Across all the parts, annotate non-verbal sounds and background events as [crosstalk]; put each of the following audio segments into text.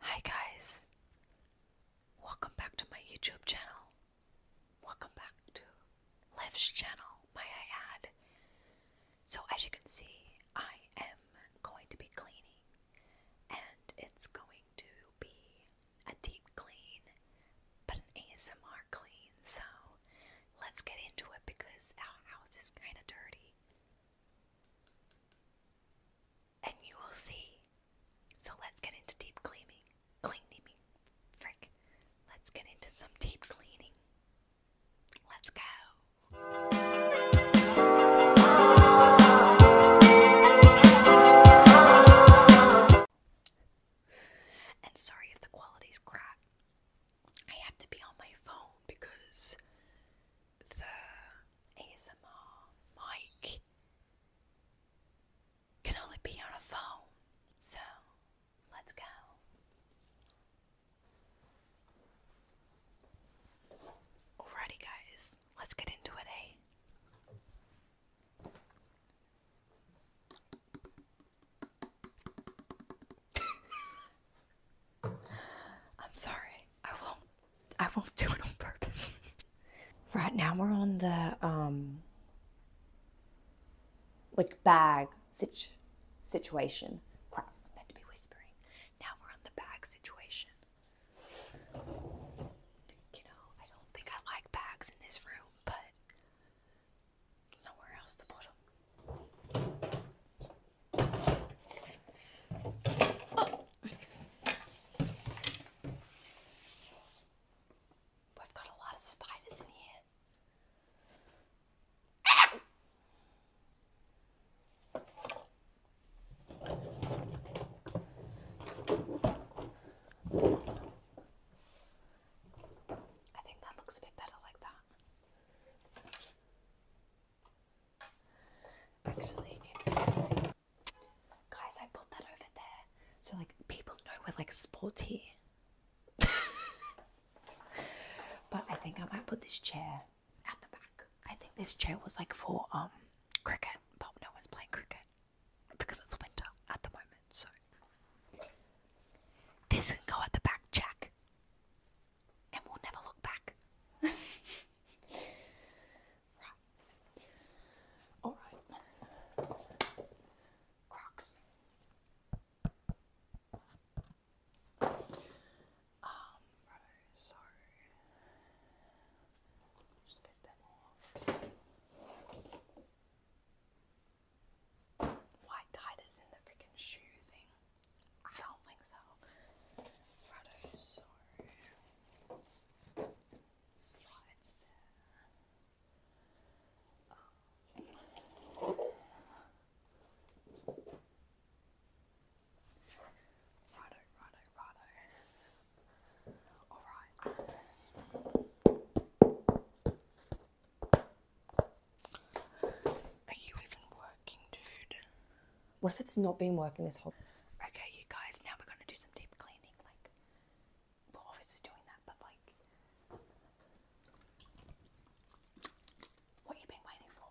Hi guys. Welcome back to my YouTube channel. Welcome back to Liv's channel, may I So as you can see, I am going to be cleaning and it's going to be a deep clean but an ASMR clean. So let's get into it because our house is kind of dirty. And you will see. So let's get into deep cleaning. Cleaning. Frick. Let's get into some deep cleaning. Let's go. And sorry if the quality's crap. I have to be on my phone because the ASMR mic can only be on a phone, so let's go. Alrighty, guys, let's get into it, eh? [laughs] I'm sorry. I won't. I won't do it on purpose. [laughs] right now we're on the um, like bag situ situation. Crap, meant to be whispering. Now we're on the bag situation. You know, I don't think I like bags in this room, but nowhere else to put them. Oh. have got a lot of spiders in here. I think that looks a bit better like that. Actually, guys, I put that over there so like people know we're like sporty. [laughs] but I think I might put this chair at the back. I think this chair was like for um cricket, but no one's playing cricket because it's winter at the moment. So this can go at the back, Jack and we'll never look back. [laughs] right. Alright. Crocs. Um, so just get them off. White tied is in the freaking shoe thing. I don't think so. Righto, um, Righto, righto, Alright. Are you even working, dude? What if it's not been working this whole Okay, you guys, now we're gonna do some deep cleaning. Like we're obviously doing that, but like what you been waiting for?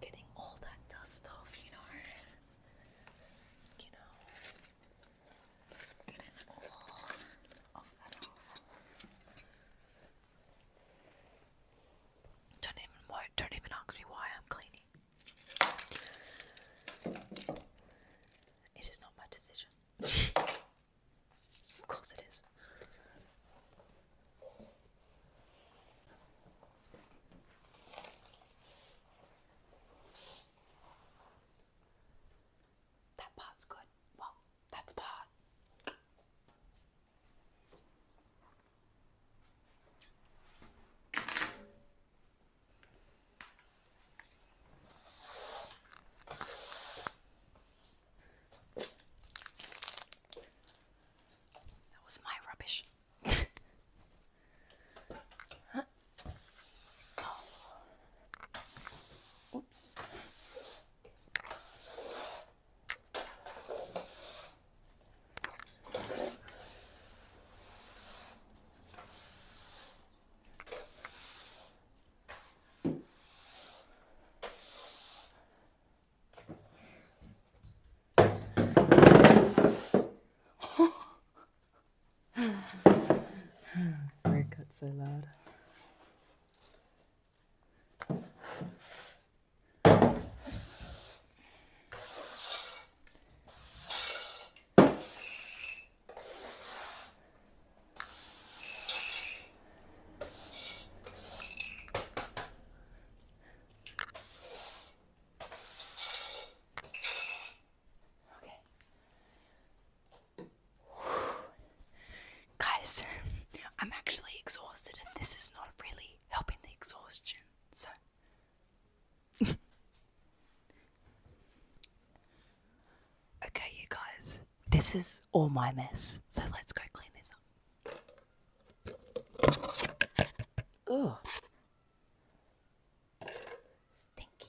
Getting all that dust off, you know, you know, getting all of that off. Don't even don't even ask me why I'm cleaning. It is not my decision. of course it is. That part's good. Well, that's part. That was my rubbish. [laughs] Oh. Oops. Sorry, I cut so loud. I'm actually exhausted, and this is not really helping the exhaustion. So, [laughs] okay, you guys, this is all my mess. So let's go clean this up. Ugh. Stinky.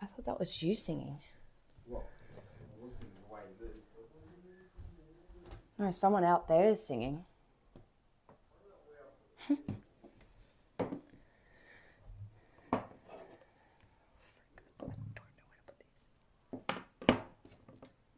I thought that was you singing. No, someone out there is singing. [laughs]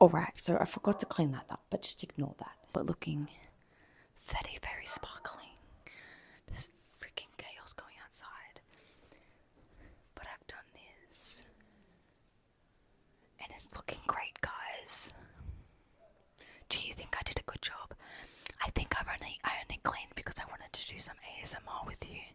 Alright, so I forgot to clean that up, but just ignore that. But looking very, very sparkling. This freaking chaos going outside. But I've done this. And it's looking great, guys. Do you think I did a good job? I think I've only I only cleaned because I wanted to do some ASMR with you.